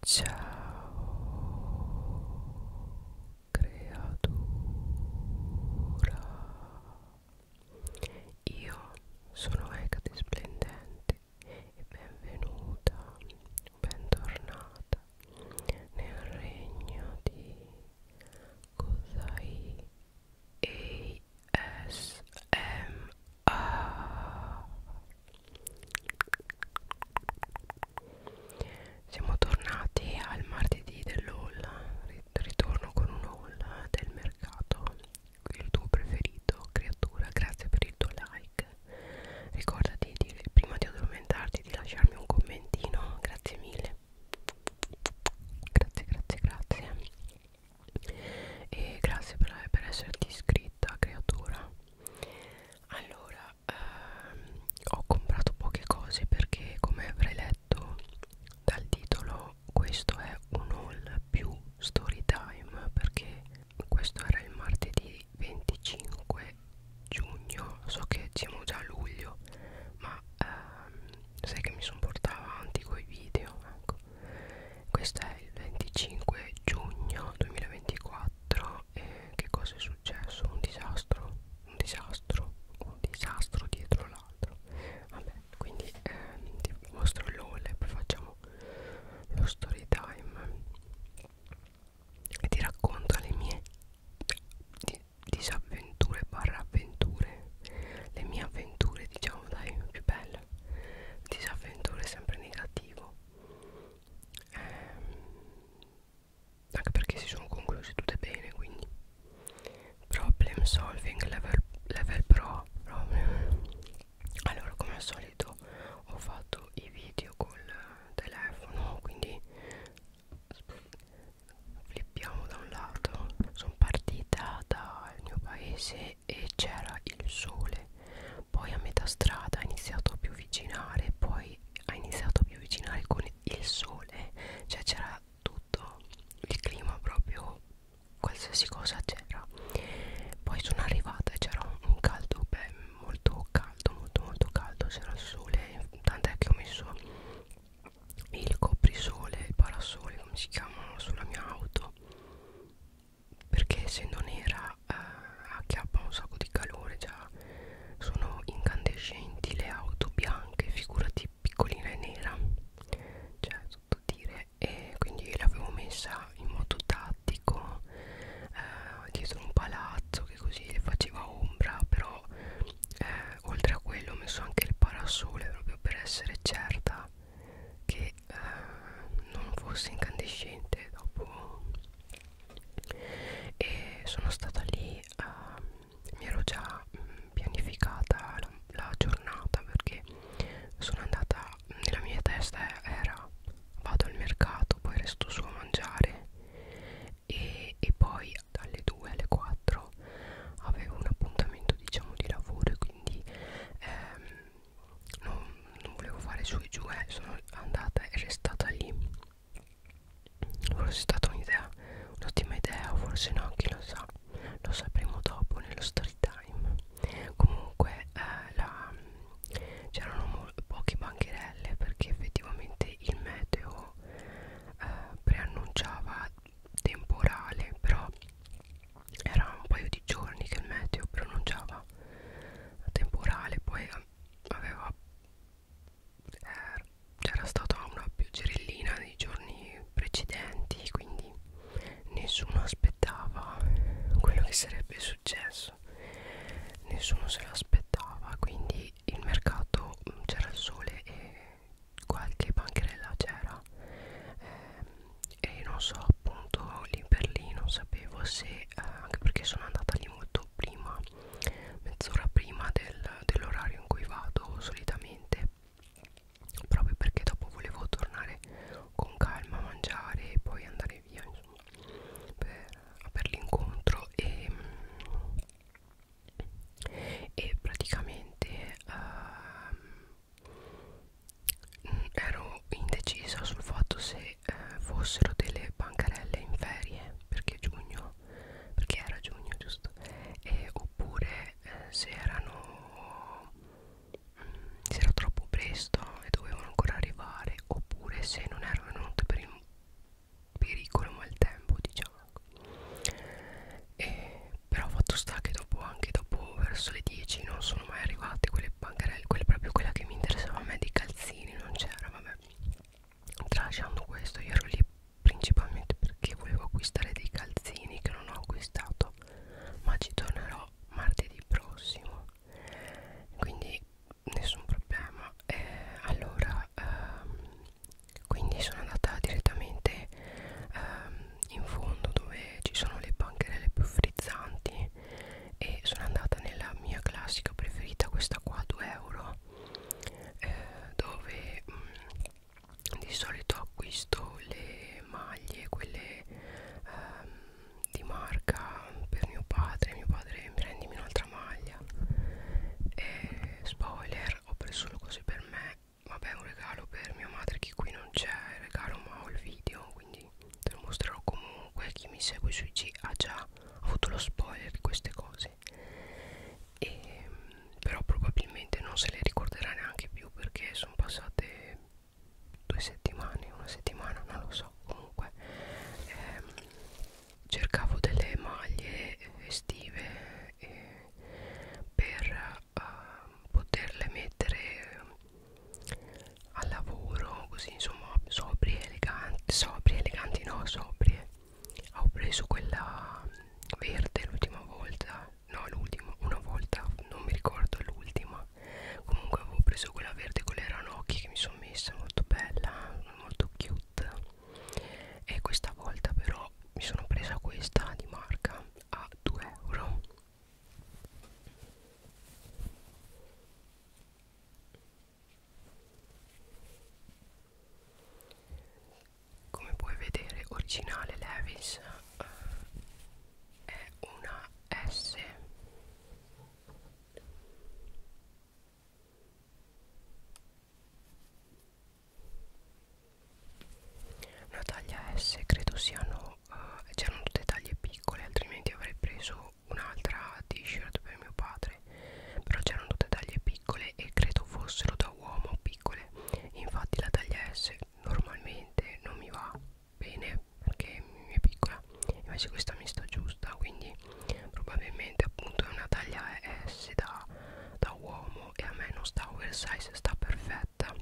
Ciao creatura Io sono Ecate Splendente e benvenuta, bentornata nel regno di Kozai ASMR siamo tornati al martedì dell'haul, ritorno con un haul del mercato, il tuo preferito, creatura, grazie per il tuo like, ricordati di, prima di addormentarti di lasciarmi un commentino, grazie mille, grazie, grazie, grazie e grazie per, per esserti iscritta creatura allora ehm, ho comprato poche cose perché come avrei letto dal titolo questo è un haul più story time perché questo era il martedì 25 giugno so che siamo già a luglio ma ehm, sai che mi sono portata avanti con i video ecco questo è il 25 giugno 2024 4 e che cosa è successo? Un disastro, un disastro, un disastro dietro l'altro. Vabbè, quindi eh, ti mostro l'all e poi facciamo lo story time e ti racconto le mie di disavventure barra avventure, le mie avventure diciamo dai più belle, disavventure sempre negativo ehm, anche perché si sono concluse tutte bene quindi problem solving level, level pro problem. allora come al solito ho fatto i video col telefono quindi flippiamo da un lato sono partita dal mio paese e c'era il sole poi a metà strada ha iniziato a più avvicinare poi ha iniziato a più avvicinare con il sole cioè c'era tutto il clima proprio qualsiasi cosa c'era poi sono arrivata e c'era un caldo beh, molto caldo molto molto caldo c'era il sole tant'è che ho messo il coprisole il parasole come si chiamano sulla mia auto perché essendo nera eh, acchiappa un sacco di calore già sono incandescenti le auto bianche figurati piccolina e nera cioè tutto dire e quindi l'avevo messa in modo tattico eh, dietro un palazzo che così le faceva ombra però eh, oltre a quello ho messo anche il parasole proprio per essere certa che eh, non fosse incandescente dopo e sono stata lì a, ehm, mi ero già mh, mm, pianificata la, la giornata perché sono andata mm, nella mia testa era vado al mercato poi resto su a mangiare e, e poi dalle 2 alle 4 avevo un appuntamento diciamo di lavoro e quindi ehm, non, non volevo fare su e giù eh, sono andata e restata lì forse è stata un'idea un'ottima idea o forse no chi lo sa lo sapremo dopo nello story time comunque eh, c'erano pochi bancherelle perché effettivamente il meteo eh, preannunciava temporale però era un paio di giorni che il meteo pronunciava temporale poi eh, aveva eh, c'era stata una pioggerellina nei giorni precedenti quindi nessuno aspettava quello che sarebbe successo nessuno se lo aspettava quindi il mercato mm, c'era il sole e qualche bancherella c'era eh, e non so appunto lì per lì non sapevo se eh, anche perché sono andata lì molto prima mezz'ora prima del, dell'orario in cui vado solitamente proprio perché dopo volevo tornare con calma a mangiare e poi andare via insomma per, per l'incontro e, e praticamente uh, ero indecisa sul fatto se eh, fossero delle bancarelle in ferie perché giugno perché era giugno giusto e, oppure eh, se erano mh, mm, se era troppo presto e dovevano ancora arrivare oppure se non erano venute per il pericolo maltempo diciamo e, però fatto sta che dopo anche dopo verso le 10 non sono mai arrivate quelle bancarelle quella proprio quella che mi interessava a me di calzini non c'era vabbè Tralasciando questo, io ero lì principalmente perché volevo acquistare dei calzini che non ho acquistato, ma ci tornerò martedì prossimo. Quindi nessun problema. Eh, allora, ehm, quindi sono andata direttamente ehm, in fondo dove ci sono le bancherelle più frizzanti e sono andata nella mia classica preferita questa qua 2 euro eh, dove mh, mm, di solito acquisto le maglie quelle ehm, di marca per mio padre mio padre prendimi un'altra maglia e, spoiler ho preso solo cose per me vabbè un regalo per mia madre che qui non c'è il regalo ma ho il video quindi te lo mostrerò comunque chi mi segue sui G ha già ho avuto lo spoiler di queste cose e, però probabilmente non se le ricorderà neanche più perché sono passate due settimane una settimana non lo so comunque ehm, cercavo delle maglie estive eh, per eh, poterle mettere al lavoro così insomma sobrie eleganti sobrie eleganti no sobrie ho preso quella verde l'ultima volta no l'ultima una volta non mi ricordo l'ultima comunque avevo preso quella verde con le ranocchie che mi sono messa molto bella molto cute e questa volta però mi sono presa questa di marca a 2 euro come puoi vedere originale Levis eh, è una S una taglia S credo siano eh, c'erano tutte taglie piccole altrimenti avrei preso un'altra t-shirt per mio padre però c'erano tutte taglie piccole e credo fossero da uomo piccole infatti la taglia S normalmente non mi va bene perché mi è piccola invece questa mi sta giusta quindi probabilmente appunto è una taglia S da, da uomo e a me non sta oversize sta perfetta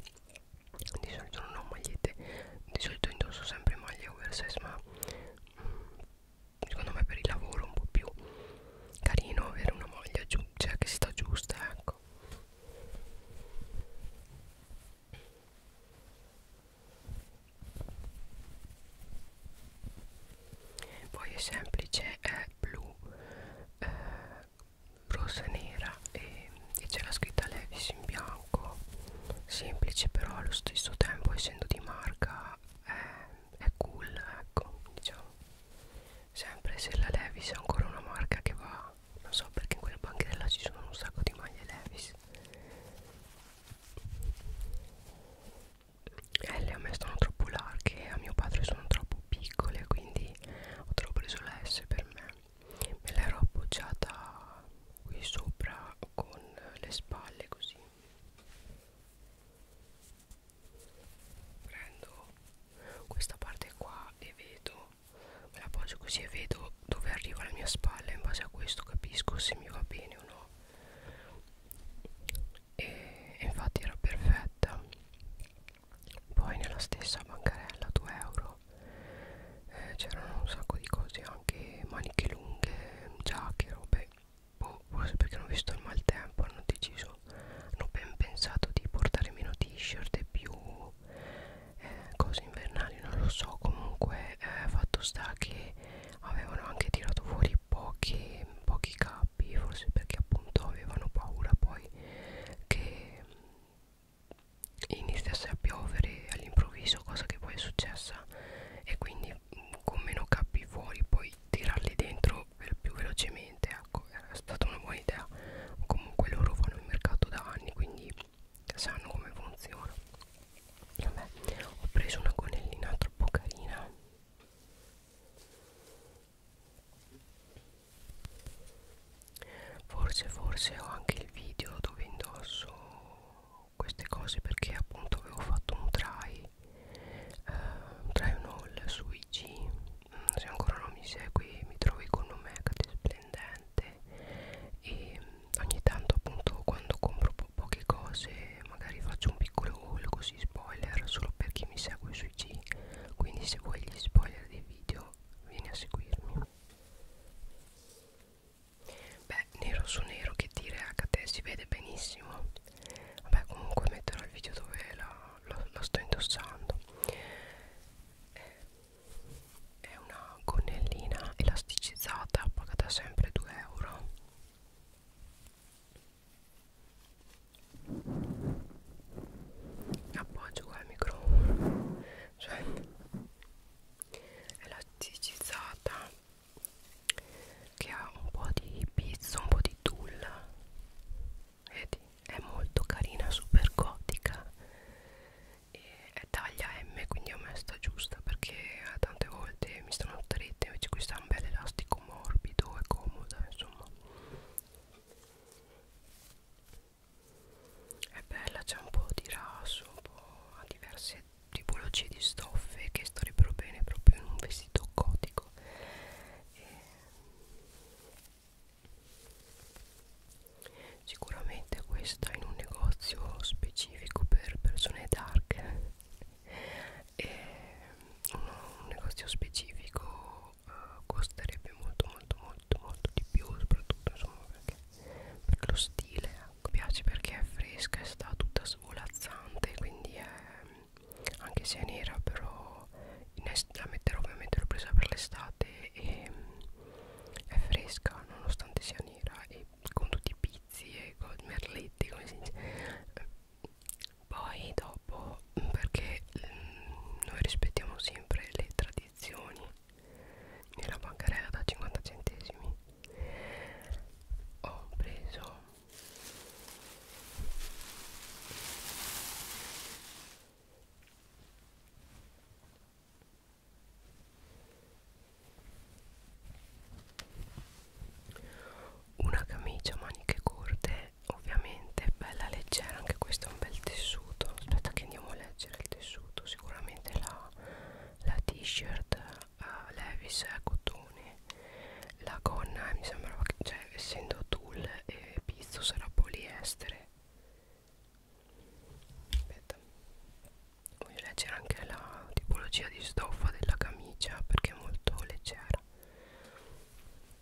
di solito non ho magliette di solito indosso sempre maglie oversize ma secondo me per il lavoro un po' più carino avere una maglia cioè che sta giusta ecco poi è semplice è blu eh, rosa e nera e, e c'è la scritta Levis in bianco semplice però allo stesso tempo essendo di marca è è cool ecco diciamo sempre se la Levis è ancora una marca che va non so perché in quella bancherella ci sono un sacco di maglie Levis eh, le a me stanno troppo larghe a mio padre sono troppo piccole quindi ho troppo preso la S per me me l'ero appoggiata qui sopra con le spalle così prendo questa parte qua e vedo me la appoggio così e vedo dove arriva la mia spalla in base a questo capisco se mi va bene o no e, e infatti era perfetta poi nella stessa bancarella 2 euro eh, c'erano un sacco di cose anche maniche lunghe giacche robe boh, forse perché hanno visto il maltempo hanno deciso hanno ben pensato di portare meno t-shirt e più eh, cose invernali non lo so comunque eh, fatto sta che avevano anche tirato fuori pochi, pochi capi forse perché appunto avevano paura poi che iniziasse a piovere all'improvviso cosa che poi è successa e quindi mm, con meno capi fuori poi tirarli dentro più velocemente ecco è stata una buona idea comunque loro fanno il mercato da anni quindi sanno come funziona Vabbè, ho preso una gonnellina troppo carina forse forse ho anche il video dove indosso queste cose perché appunto avevo fatto un try uh, eh, drive haul su IG mm, se ancora non mi segui mi trovi con un Megate splendente e mm, ogni tanto appunto quando compro po poche cose magari faccio un piccolo haul così spoiler solo per chi mi segue su IG quindi se vuoi gli spoiler dei video vieni a seguirmi beh nero su nero che dire HT si vede benissimo vabbè comunque metterò il video dove la, lo, lo sto indossando eh, è una gonnellina elasticizzata pagata sempre 2 euro appoggio qua il microfono cioè elasticizzata che ha un po' di pizza, un po' di tulla vedi è molto carina super gotica e è taglia M quindi a me sta giusta perché eh, tante volte mi stanno strette invece questa è un bel elastico morbido e comoda insomma è bella c'è un po' di raso un po' a diverse tipologie di stoffe che starebbero bene proprio in un vestito gotico ecco e sicuramente questa in un negozio specifico per persone dark e uno, un negozio specifico uh, costerebbe molto molto molto molto di più soprattutto insomma perché per lo stile mi ecco, piace perché è fresca e sta tutta svolazzante quindi è anche se è nera però la metterò ovviamente l'ho presa per l'estate e mm, è fresca nonostante sia nera e con tutti i pizzi e con merletti come si dice poi dopo mm, perché mm, noi rispettiamo sempre le tradizioni nella bancarella da 50 centesimi ho preso una camicia a maniche corte ovviamente bella leggera anche questo è un bel tessuto aspetta che andiamo a leggere il tessuto sicuramente la, la t-shirt uh, Levis è cotone la gonna eh, mi sembrava che cioè essendo tulle e pizzo sarà poliestere aspetta voglio leggere anche la tipologia di stoffa della camicia perché è molto leggera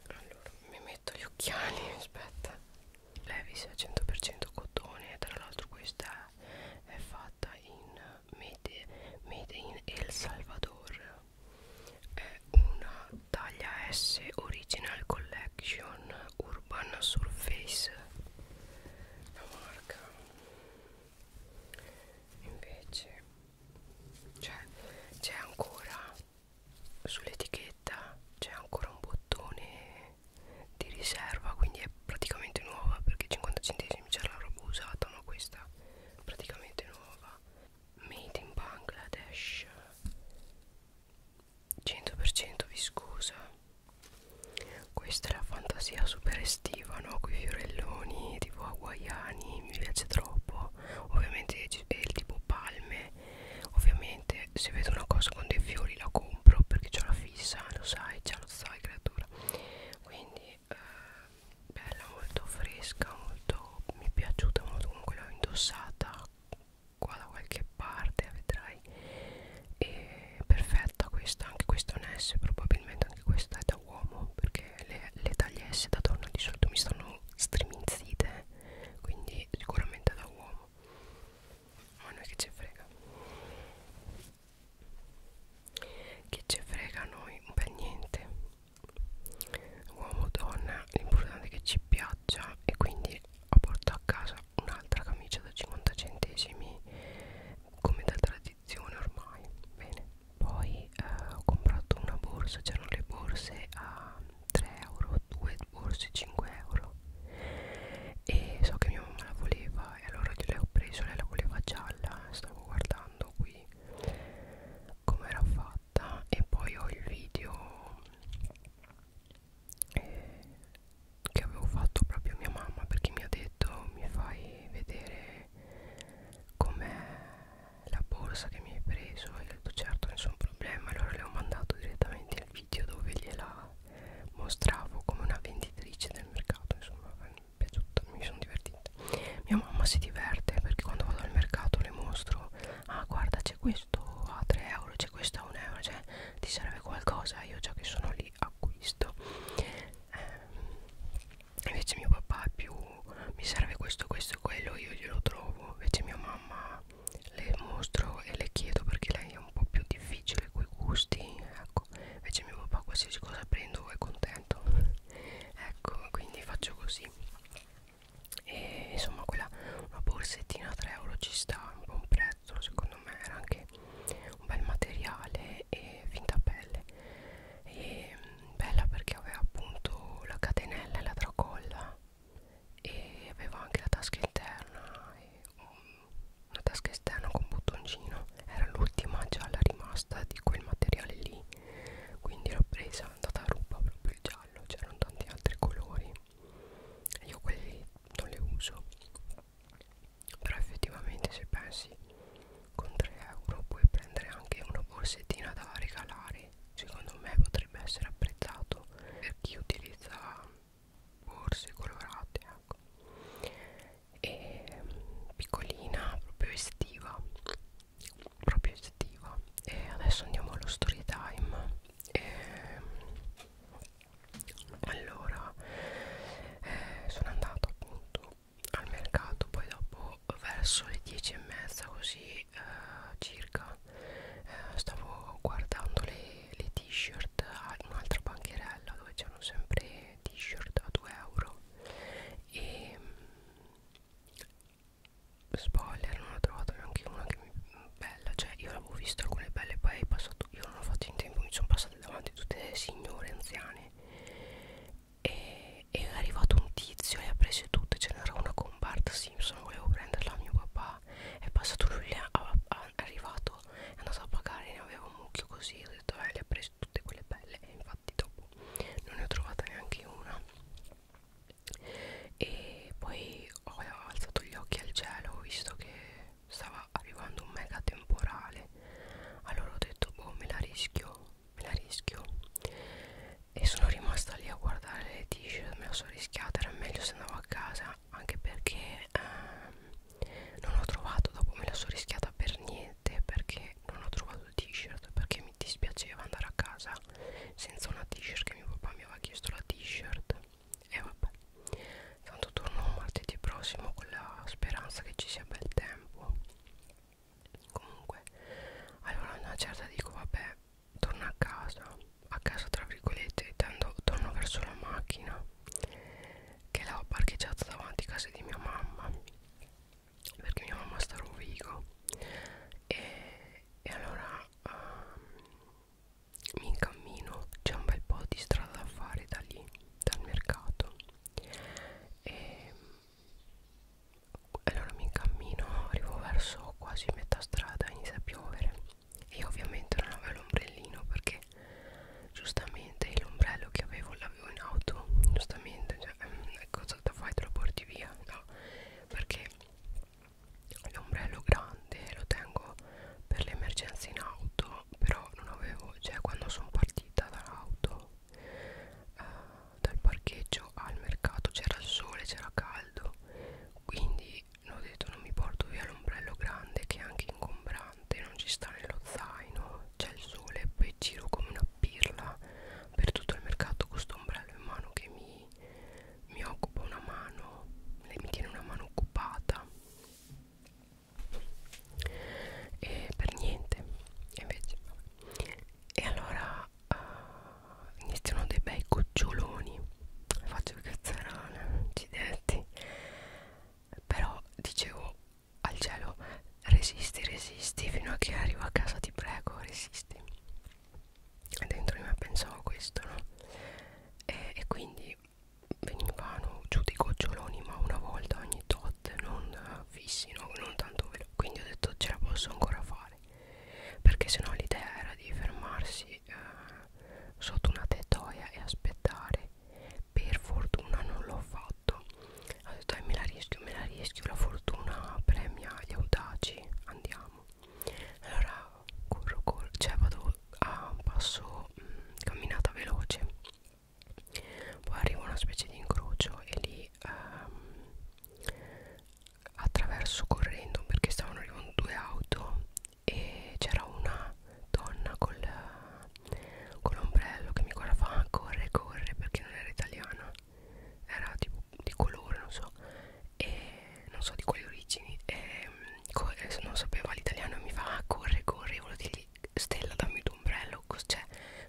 allora mi metto gli occhiali aspetta Levis è 100% cotone tra l'altro questa è fatta in made, made in El Salvador è una taglia S Original Collection Urban Surface la marca invece cioè c'è ancora sull'etichetta c'è ancora un bottone di riserva quindi è praticamente nuova perché 50 centesimi c'è la roba usata ma questa è praticamente nuova made in Bangladesh 100% viscosa questa è la fantasia super estiva no? con i fiorelloni tipo hawaiani mi piace troppo ovviamente è il tipo palme ovviamente se vedo una cosa con dei fiori la compro perché ho la fissa lo sai già lo sai creatura quindi e eh, bella, molto fresca, molto mi è piaciuta molto, comunque l'ho indossata qua da qualche parte, vedrai. E perfetta questa, anche questa è un S, probabilmente anche questa è da uomo, perché le, le taglie S da donna di solito mi stanno striminzite, quindi sicuramente da uomo. Ma noi che ci frega? Che ci frega a noi? Beh niente uomo o donna l'importante è che ci piaccia e quindi ho portato a casa un'altra camicia da 50 centesimi come da tradizione ormai bene poi eh, ho comprato una borsa c'erano le borse a 3 euro due borse 5 euro e so che mia mamma la voleva e allora gliel'ho preso lei la voleva gialla stavo guardando qui come era fatta e poi ho il video eh, che avevo fatto proprio a mia mamma perché mi ha detto mi fai vedere com'è la borsa che mi hai preso e ho detto certo nessun problema allora le ho mandato direttamente il video dove gliela mostravo come una venditrice del mercato insomma mi, piaciuto, mi sono divertita niente mia mamma si diverte perché quando vado al mercato le mostro ah guarda c'è questo a 3 euro c'è questo a 1 euro cioè ti serve qualcosa io già che sono lì acquisto eh, invece mio papà è più mi serve questo questo e quello io glielo trovo invece mia mamma le mostro e le chiedo perché lei è un po' più difficile coi gusti ecco invece mio papà qualsiasi cosa prendo è contento ecco quindi faccio così così e insomma quella una borsettina a 3 euro ci sta un buon prezzo secondo me era anche un bel materiale e finta pelle e mm, bella perché aveva appunto la catenella e la tracolla e aveva anche la tasca interna e una tasca esterna con bottoncino era l'ultima gialla rimasta di quel materiale lì quindi l'ho presa tataruba proprio il giallo c'erano tanti altri colori io quelli non li uso però effettivamente se pensi con 3 euro puoi prendere anche una borsettina da regalare secondo me potrebbe essere apprezzato per chi utilizza borse colorate ecco e mm, piccolina proprio estiva proprio estiva e adesso andiamo allo story time e, allora eh, sono andato appunto al mercato poi dopo verso le 10 e mezza così eh, circa eh, stavo guardando le, le t-shirt a un'altra bancherella dove c'erano sempre t-shirt a 2 euro e spoiler non ho trovato neanche una che mi bella cioè io avevo visto alcune belle poi è passato io non ho fatto in tempo mi sono passate davanti tutte le signore anziane e è arrivato un tizio e ha preso tutte ce cioè, n'era una con Bart Simpson volevo prenderla a mio papà è passato lui è arrivato è andato a pagare ne aveva un mucchio così ho detto eh le ha prese tutte quelle belle e infatti infatti dopo non ne ho trovata neanche una e poi ho alzato gli occhi al cielo visto che stava arrivando un mega temporale allora ho detto boh me la rischio me la rischio e sono rimasta lì a guardare le t-shirt me la sono rischiata era meglio se andavo a casa anche perché ehm, non ho trovato dopo me la sono rischiata per niente perché che non ho trovato il t-shirt perché mi dispiaceva andare a casa senza una t-shirt che mio papà mi aveva chiesto la t-shirt e vabbè tanto torno martedì prossimo con la speranza che ci sia bel tempo comunque allora una certa dico vabbè torno a casa a casa tra virgolette tendo, torno verso la macchina che l'ho parcheggiata davanti a casa di mia mamma perché mia mamma sta a Rovigo e, e allora um, mi incammino c'è un bel po' di strada da fare da lì dal mercato e allora mi incammino arrivo verso quasi metà strada inizia a piovere e io ovviamente non avevo l'ombrellino perché giustamente l'ombrello che avevo l'avevo in auto giustamente cioè, ehm, ecco, cosa da fai te lo porti via no perché l'ombrello grande lo tengo per le emergenze in auto però non avevo cioè quando sono partita dall'auto eh, dal parcheggio al mercato c'era il sole c'era caldo quindi ho detto non mi porto via l'ombrello grande che è anche ingombrante non ci sta nello zaino c'è il sole e poi giro come una pirla per tutto il mercato con questo ombrello in mano che mi, mi occupa una mano lei mi tiene una mano occupata e per niente invece e allora uh, iniziano dei bei cuccioloni faccio cazzarone accidenti però dicevo al cielo resisti resisti fino a che arrivo a casa ti prego resisti dentro di me pensavo a questo no? e, e quindi venivano giù dei goccioloni ma una volta ogni tot non eh, fissi no? non tanto veloce quindi ho detto ce la posso ancora fare perché sennò l'idea era di fermarsi eh, sotto una tettoia e aspettare per fortuna non l'ho fatto ho detto eh, me la rischio me la rischio la fortuna premia gli audaci oggi andiamo allora corro corro cioè vado a passo mh, mm, camminata veloce poi arrivo a una specie di incrocio e lì ehm, attraverso correndo perché stavano arrivando due auto e c'era una donna col, con l'ombrello che mi guardava ah, corre corre perché non era italiana era tipo di colore non so e non so di quali origini e non sapeva l'italiano e mi fa ah, corre corre volevo dirgli Stella dammi tuo ombrello cos cioè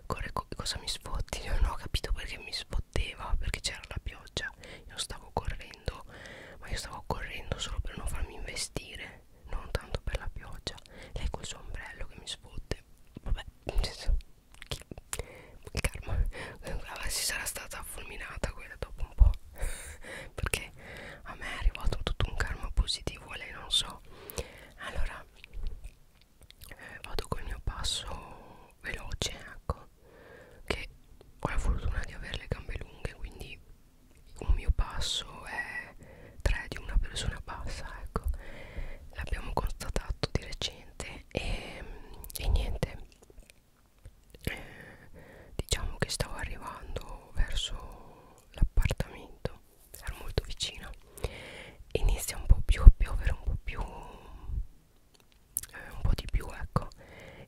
corre co cosa mi sfotti io non ho capito perché mi sfotteva perché c'era la pioggia io stavo correndo ma io stavo correndo solo per non farmi investire non tanto per la pioggia lei col suo ombrello che mi sfotte vabbè chi? Il karma si sarà stata fulminata quella dopo un po' perché a me è arrivato tutto un karma positivo a lei non so allora eh, vado col mio passo veloce ecco che ho la fortuna di avere le gambe lunghe quindi un mio passo è 3 di una persona bassa ecco l'abbiamo constatato di recente e, e niente diciamo che stavo arrivando verso l'appartamento ero molto vicina inizia un po' più a piovere un po' più eh, un po' di più ecco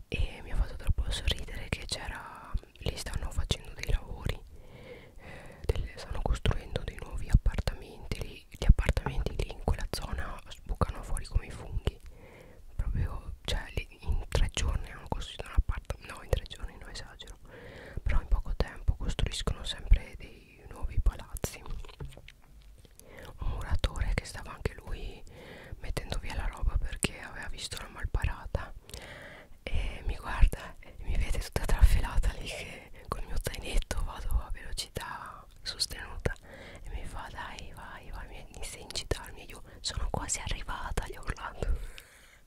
e mi ha fatto troppo sorridere che c'era lì stanno facendo dei lavori eh, delle, stanno costruendo dei nuovi appartamenti lì poi gli appartamenti lì in quella zona sbucano fuori come i funghi proprio cioè in tre giorni hanno costruito un appartamento no in tre giorni non esagero però in poco tempo costruiscono sempre dei nuovi palazzi un muratore che stava anche lui mettendo via la roba perché aveva visto la malparata e mi guarda e mi vede tutta trafelata lì che col mio zainetto vado a velocità sostenuta e mi fa dai vai vai mi inizia a incitarmi io sono quasi arrivata gli ho urlato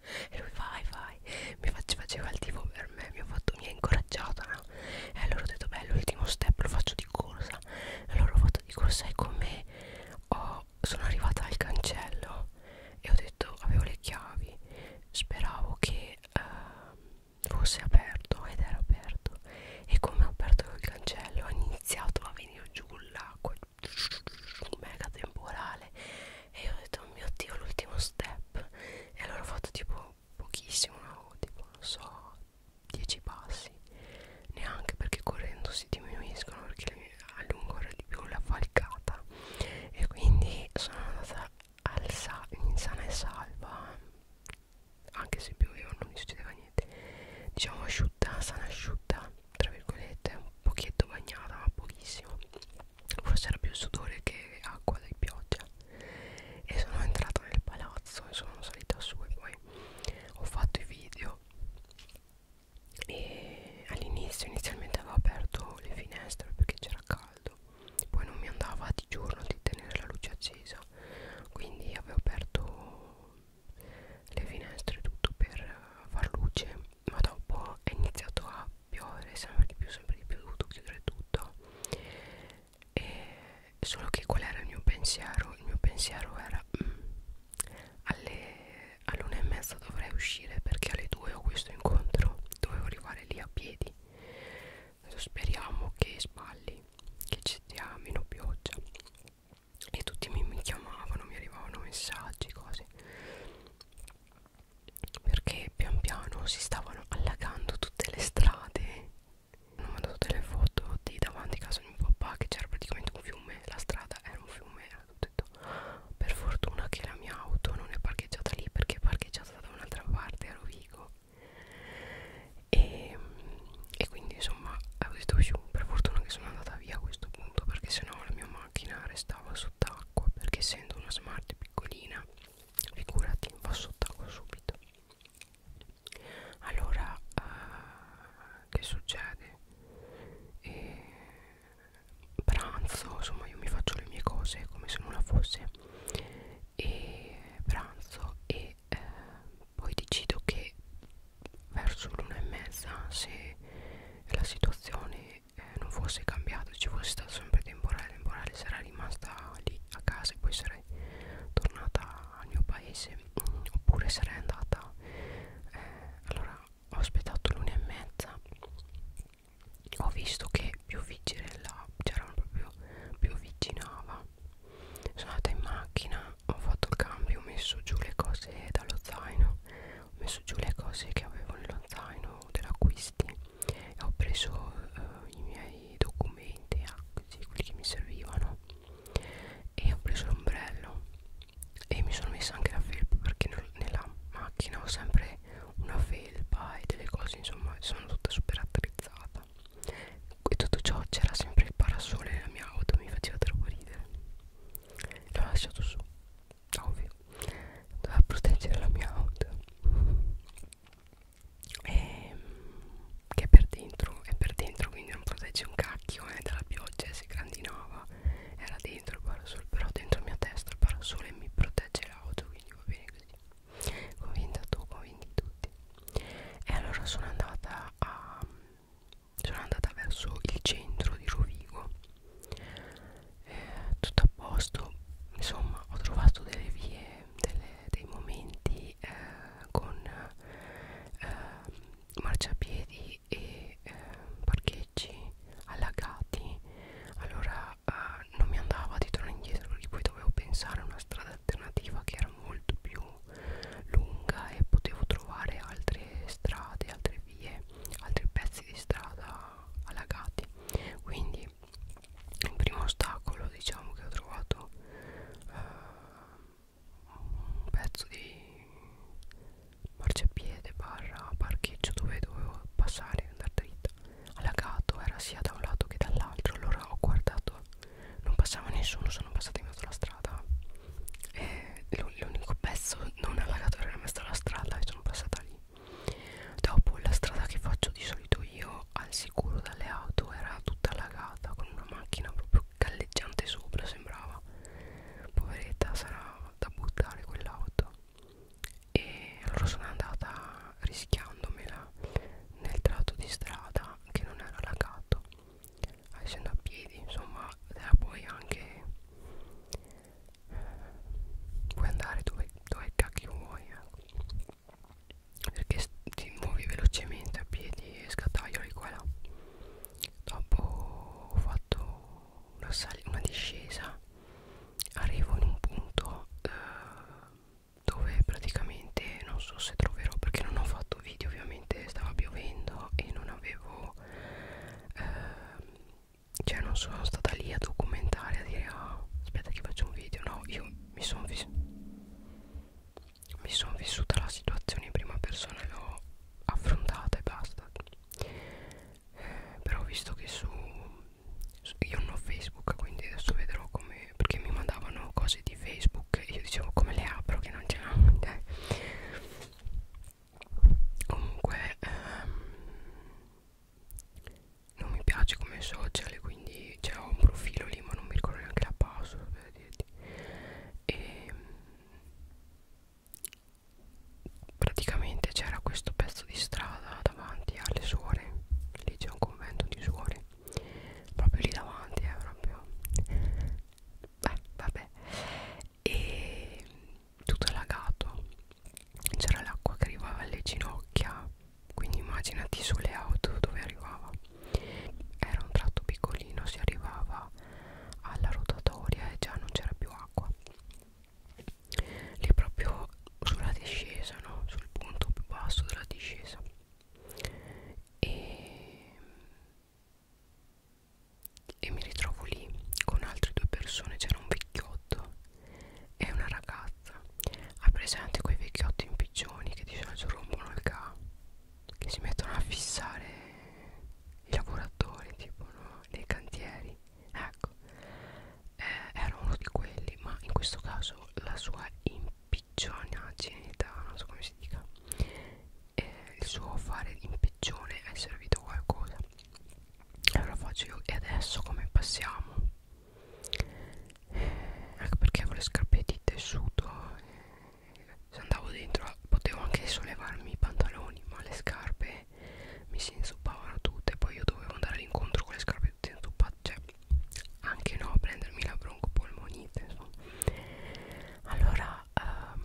e lui vai vai mi faceva il tipo per me mi ha, fatto, mi ha incoraggiato no? e allora ho detto beh l'ultimo step lo faccio di corsa e allora ho fatto di corsa e con me ho, sono arrivata al cancello e ho detto avevo le chiavi speravo che uh, fosse aperto ed era aperto e come ho aperto il cancello ha iniziato a venire giù l'acqua mega temporale e io ho detto oh mio dio l'ultimo step e allora ho fatto tipo pochissimo no? tipo non so 10 passi neanche perché correndo si diminuiscono perché allungano di più la falcata e quindi sono andata al sa in sana e salva anche se pioveva non mi succedeva niente diciamo asciutta sana asciutta tra virgolette un pochetto bagnata ma pochissimo forse era più sudore che acqua di pioggia e sono entrata nel palazzo e sono salita su e poi ho fatto i video e all'inizio inizialmente avevo aperto le finestre perché c'era caldo poi non mi andava di giorno di tenere la luce accesa chiusa quindi avevo aperto le finestre tutto per far luce ma dopo è iniziato a piovere sempre di più sempre di più ho dovuto chiudere tutto e solo che qual era il mio pensiero il mio pensiero era mm, alle all'una e mezza dovrei uscire perché alle due ho questo incontro dovevo arrivare lì a piedi speriamo che sballi mai che ci sia meno pioggia e tutti mi, mi chiamavano, mi arrivavano messaggi, cose perché pian piano si stavano allagando tutte le strade hanno mandato delle foto di davanti a casa di mio papà che c'era praticamente un fiume la strada era un fiume era tutto per fortuna che la mia auto non è parcheggiata lì perché è parcheggiata da un'altra parte a Rovigo e, e quindi insomma eh, ho detto più per fortuna che sono andata via a questo punto perché sennò la mia macchina restava sott'acqua perché essendo una smart piccolina figurati va sott'acqua subito allora uh, che succede e pranzo insomma io mi faccio le mie cose come se nulla fosse e pranzo e eh, poi decido che verso l'una e mezza se la situazione eh, non fosse cambiata ci fosse stato sempre temporale temporale sarei rimasta lì a casa e poi sarei tornata al mio paese mm, oppure sarei andata eh, allora ho aspettato l'una e mezza ho visto che più c'era proprio più avvicinava sono andata in macchina ho fatto il cambio ho messo giù le cose dallo zaino ho messo giù le cose che avevo nello zaino dell'acquisti e ho preso eh, i miei documenti ah, sì, quelli che mi servivano e ho preso l'ombrello e mi sono messa anche la felpa perché nella macchina ho sempre una felpa e delle cose insomma sono tutta super attrezzata strada e tutto ciò c'era sempre il parasole nella mia auto mi faceva troppo ridere l'ho lasciato su ovvio doveva proteggere la mia auto e, ehm, che è per dentro è per dentro quindi non protegge un cacchio eh, dalla pioggia eh, si grandinava era dentro il parasole però dentro la mia testa il parasole mi protegge l'auto quindi va bene così convinta tu convinti tutti e allora sono andata a sono andata verso il centro di Rovigo eh, tutto a posto insomma ho trovato delle vie delle, dei momenti eh, con eh, marciapiedi e eh, parcheggi allagati allora eh, non mi andava di tornare indietro lì poi dovevo pensare a una strada alternativa che era molto più più lunga e potevo trovare altre strade, altre vie, altri pezzi di strada allagati. Quindi il primo ostacolo diciamo che ho trovato eh, un pezzo di marciapiede barra parcheggio dove dovevo passare andare dritta allagato era sia da un lato che dall'altro allora ho guardato non passava nessuno sono passata in mezzo alla strada e l'unico pezzo non allargatore era messa alla strada e sono passata lì dopo la strada che faccio di solito io al sicuro dalle auto era tutta allagata con una macchina proprio galleggiante sopra sembrava poveretta sarà da buttare quell'auto e allora sono andata rischiandomela nel tratto di strada che non era allagato essendo a piedi insomma te la puoi anche eh, puoi andare dove, dove cacchio vuoi eh. perché ti muovi velocemente a piedi e scattaioli qua e là dopo ho fatto una, una discesa arrivo in un punto eh, dove praticamente non so se troverò perché non ho fatto video ovviamente veramente stava piovendo e non avevo eh, cioè non sono stata lì a documentare a dire ah, aspetta che faccio un video no io mi sono mi sono vissuta la situazione in prima persona e l'ho affrontata e basta eh, però visto che su, su io non ho facebook quindi adesso vedrò come perché mi mandavano cose di facebook facebook io dicevo come le apro che non ce l'ho comunque ehm, non mi piace come social quindi c'è cioè, un profilo lì ma non mi ricordo neanche la password per dirti. e ehm, praticamente c'era questo pezzo di strada davanti alle suore lì c'è un convento di suore proprio lì davanti è eh, proprio eh, vabbè e tutto lagato c'era l'acqua che arrivava alle ginocchia quindi immaginati sulle auto dove arrivava era un tratto piccolino si arrivava alla rotatoria e già non c'era più acqua lì proprio sulla discesa no? sul punto più basso della discesa e e mi ritrovo lì con altre due persone c'era un vecchiotto e una ragazza ha presente quei vecchiotti in pigioni che di solito rompono il ca che si mettono a fissare i lavoratori tipo no? nei cantieri ecco eh, era uno di quelli ma in questo caso la sua impiglionaggine non so come si si dica eh, il suo fare l'impiccione è servito a qualcosa allora faccio io e adesso come passiamo eh, anche perché avevo le scarpette di tessuto eh, se andavo dentro potevo anche sollevarmi i pantaloni ma le scarpe mi si inzuppavano tutte poi io dovevo andare all'incontro con le scarpe tutte inzuppate cioè anche no a prendermi la broncopolmonite insomma allora um,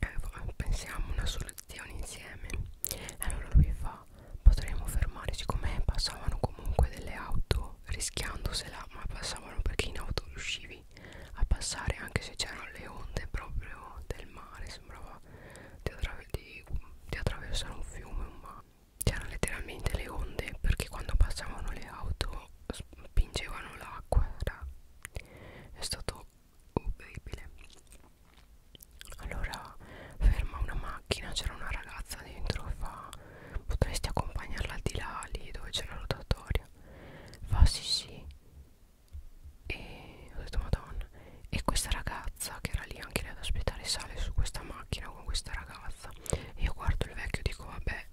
eh, pensiamo una soluzione insieme allora lui fa potremmo fermare siccome passavano comunque delle auto rischiandosela ma passavano perché in auto riuscivi a passare anche se c'erano le onde proprio del mare sembrava di, attraver di, di attraversare un fiume un mare c'erano letteralmente le onde perché quando passavano le auto spingevano l'acqua era è stato orribile allora ferma una macchina c'era una ragazza dentro e fa potresti accompagnarla di là lì dove c'è la rotatoria fa sì sì e ho detto madonna e questa ragazza che era lì anche lei ad aspettare sale su questa macchina con questa ragazza e io guardo il vecchio e dico vabbè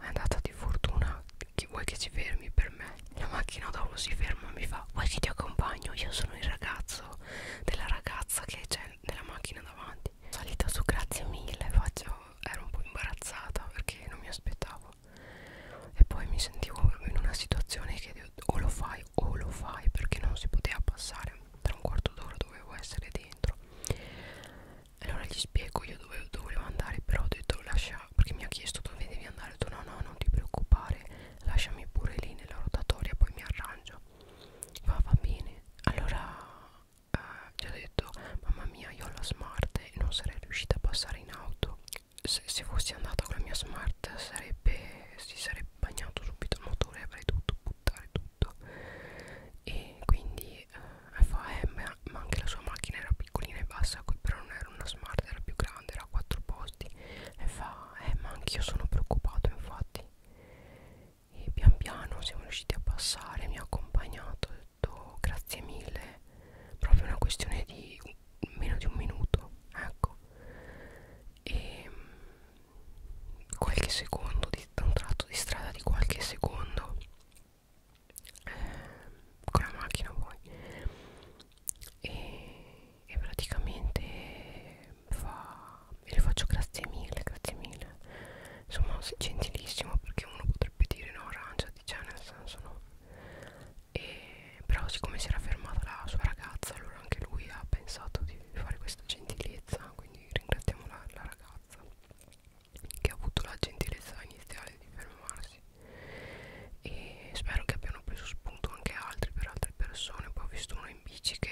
è andata di fortuna chi vuoi che si fermi per me la macchina dopo si ferma mi fa vuoi che ti accompagno io sono il ragazzo della ragazza che c'è nella macchina davanti salita su grazie mille faccio ero un po' imbarazzata perché non mi aspettavo e poi mi sentivo in una situazione che o lo fai o lo fai perché non si poteva passare tra un quarto d'ora dovevo essere dentro allora gli spiego io dove, dove volevo andare però ho detto lascia perché mi ha chiesto dove devi andare ho detto no no non ti preoccupare lasciami pure lì nella rotatoria poi mi arrangio va va bene allora eh, ci ha detto mamma mia io ho la smart e non sarei riuscita a passare in auto se, se fossi andata con la mia smart sarebbe si sarebbe bagnato subito il motore avrei dovuto buttare tutto e quindi di eh, FAM eh, ma anche la sua macchina era piccolina e bassa però non era una smart era più grande era a quattro posti e fa eh ma anch'io sono preoccupato infatti e pian piano siamo riusciti a passare mi ha accompagnato ho detto grazie mille proprio una questione di meno di un minuto ecco e mm, qualche secondo di un tratto di strada di qualche secondo eh, con la macchina poi e, e praticamente fa e le faccio grazie mille grazie mille insomma gentilissimo perché uno potrebbe dire no arrangiati cioè nel senso no e, però siccome si era fermata la sua ragazza allora anche lui ha pensato di fare questa gentilezza quindi ringraziamo la, la ragazza che ha avuto la gentilezza iniziale di fermarsi e spero che abbiano preso spunto anche altri per altre persone poi ho visto uno in bici che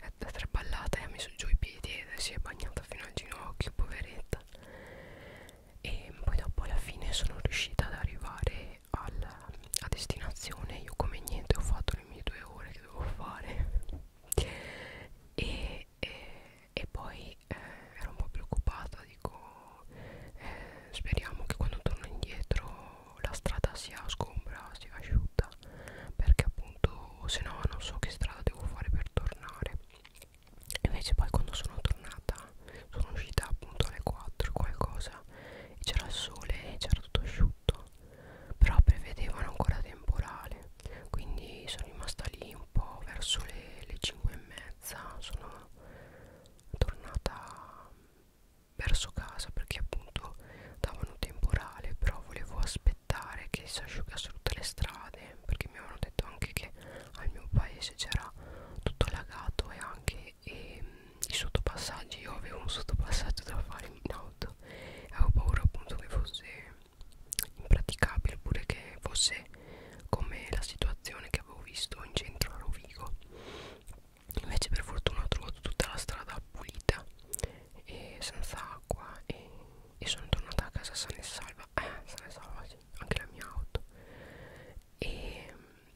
è traballata e ha messo giù i piedi e si è bagnata fino al ginocchio poveretta e poi dopo alla fine sono riuscita ad arrivare al, a destinazione io come niente ho fatto le mie due ore che dovevo fare e e, e poi eh, ero un po' preoccupata dico eh, speriamo che quando torno indietro la strada sia sgombra sia asciutta perché appunto se no non so che strada devo fare per tornare invece poi quando sono tornata sono uscita appunto alle 4 qualcosa e c'era il sole e c'era tutto asciutto però prevedevano ancora temporale quindi sono rimasta lì un po' verso le, le 5 e mezza sono tornata verso casa perché appunto davano temporale però volevo aspettare che si asciugassero tutte le strade perché mi avevano detto anche che al mio paese c'era tutto lagato e anche e, i sottopassaggi io avevo un sottopassaggio da fare in auto e avevo paura appunto che fosse impraticabile oppure che fosse come la situazione che avevo visto in centro a Rovigo invece per fortuna ho trovato tutta la strada pulita e senza acqua e, e sono tornata a casa sana e salva eh, sana e salva sì, anche la mia auto e,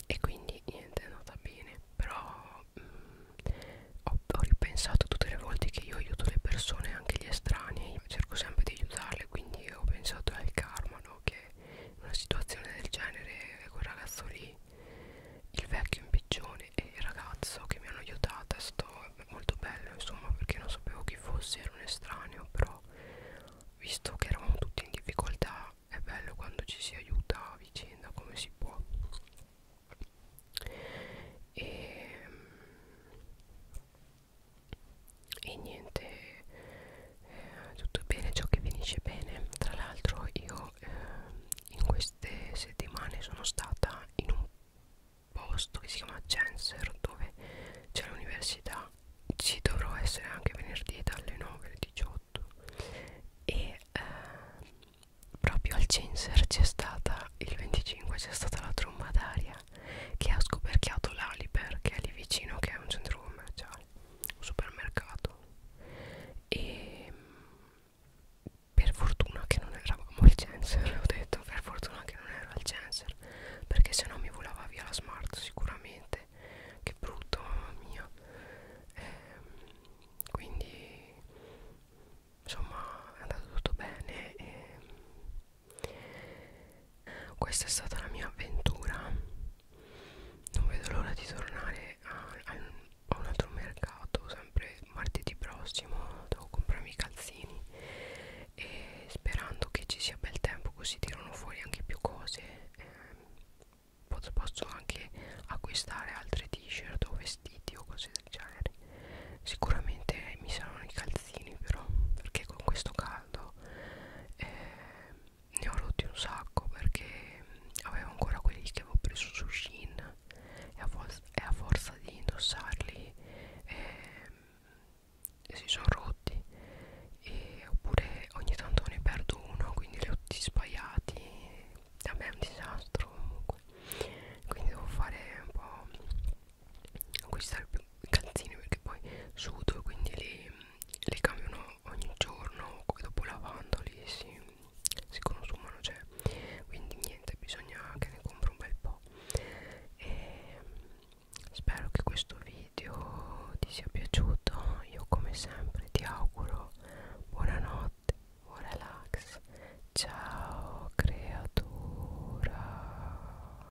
e quindi niente è andata bene però mh, mm, ho, ho ripensato tutte le volte che io aiuto le persone anche gli estranei anni cerco sempre di aiutarle quindi ho pensato al karma no? che una situazione del genere quel ragazzo lì il vecchio impiccione e il ragazzo che mi hanno aiutata è stato molto bello insomma perché non sapevo chi fosse era un estraneo però visto che eravamo tutti in difficoltà è bello quando ci si aiuta a vicenda come si può e ehm, e niente eh, tutto bene ciò che finisce bene tra l'altro io eh, in queste settimane sono stata in un posto che si chiama Genser dove c'è l'università ci dovrò essere anche venerdì dalle 9 alle 18 e eh, proprio al Genser c'è stata il 25 c'è stata la tromba d'aria Andrea che ha scoperchiato l'Aliper che è lì vicino che è un centro commerciale, un supermercato e mm, per fortuna che non eravamo al Censer, ho detto per fortuna che non ero al Censer perché sennò mi volava via la smart sicuramente, che brutto mamma mia ehm, quindi insomma è andato tutto bene e questa è stata la mia avventura non vedo l'ora di tornare a, a un altro mercato sempre martedì prossimo devo comprarmi i calzini e sperando che ci sia bel tempo così tirano fuori anche più cose eh, posso anche acquistare altre t-shirt o vestiti o cose del genere sicuramente mi saranno i calzini però perché con questo caldo caldo eh, ne ho rotti un sacco perché avevo ancora quelli che avevo preso su Shein e a, e a forza di indossarli eh, si sono rotti e oppure ogni tanto ne perdo uno quindi li ho tutti sbagliati a me è un disastro comunque quindi devo fare un po' acquistare più i calzini perché poi sudo quindi li, li cambiano ogni giorno dopo lavandoli si, si consumano cioè quindi niente bisogna che ne compro un bel po' e spero che questo video ti sia piaciuto io come sempre ti auguro buonanotte buon relax ciao creatura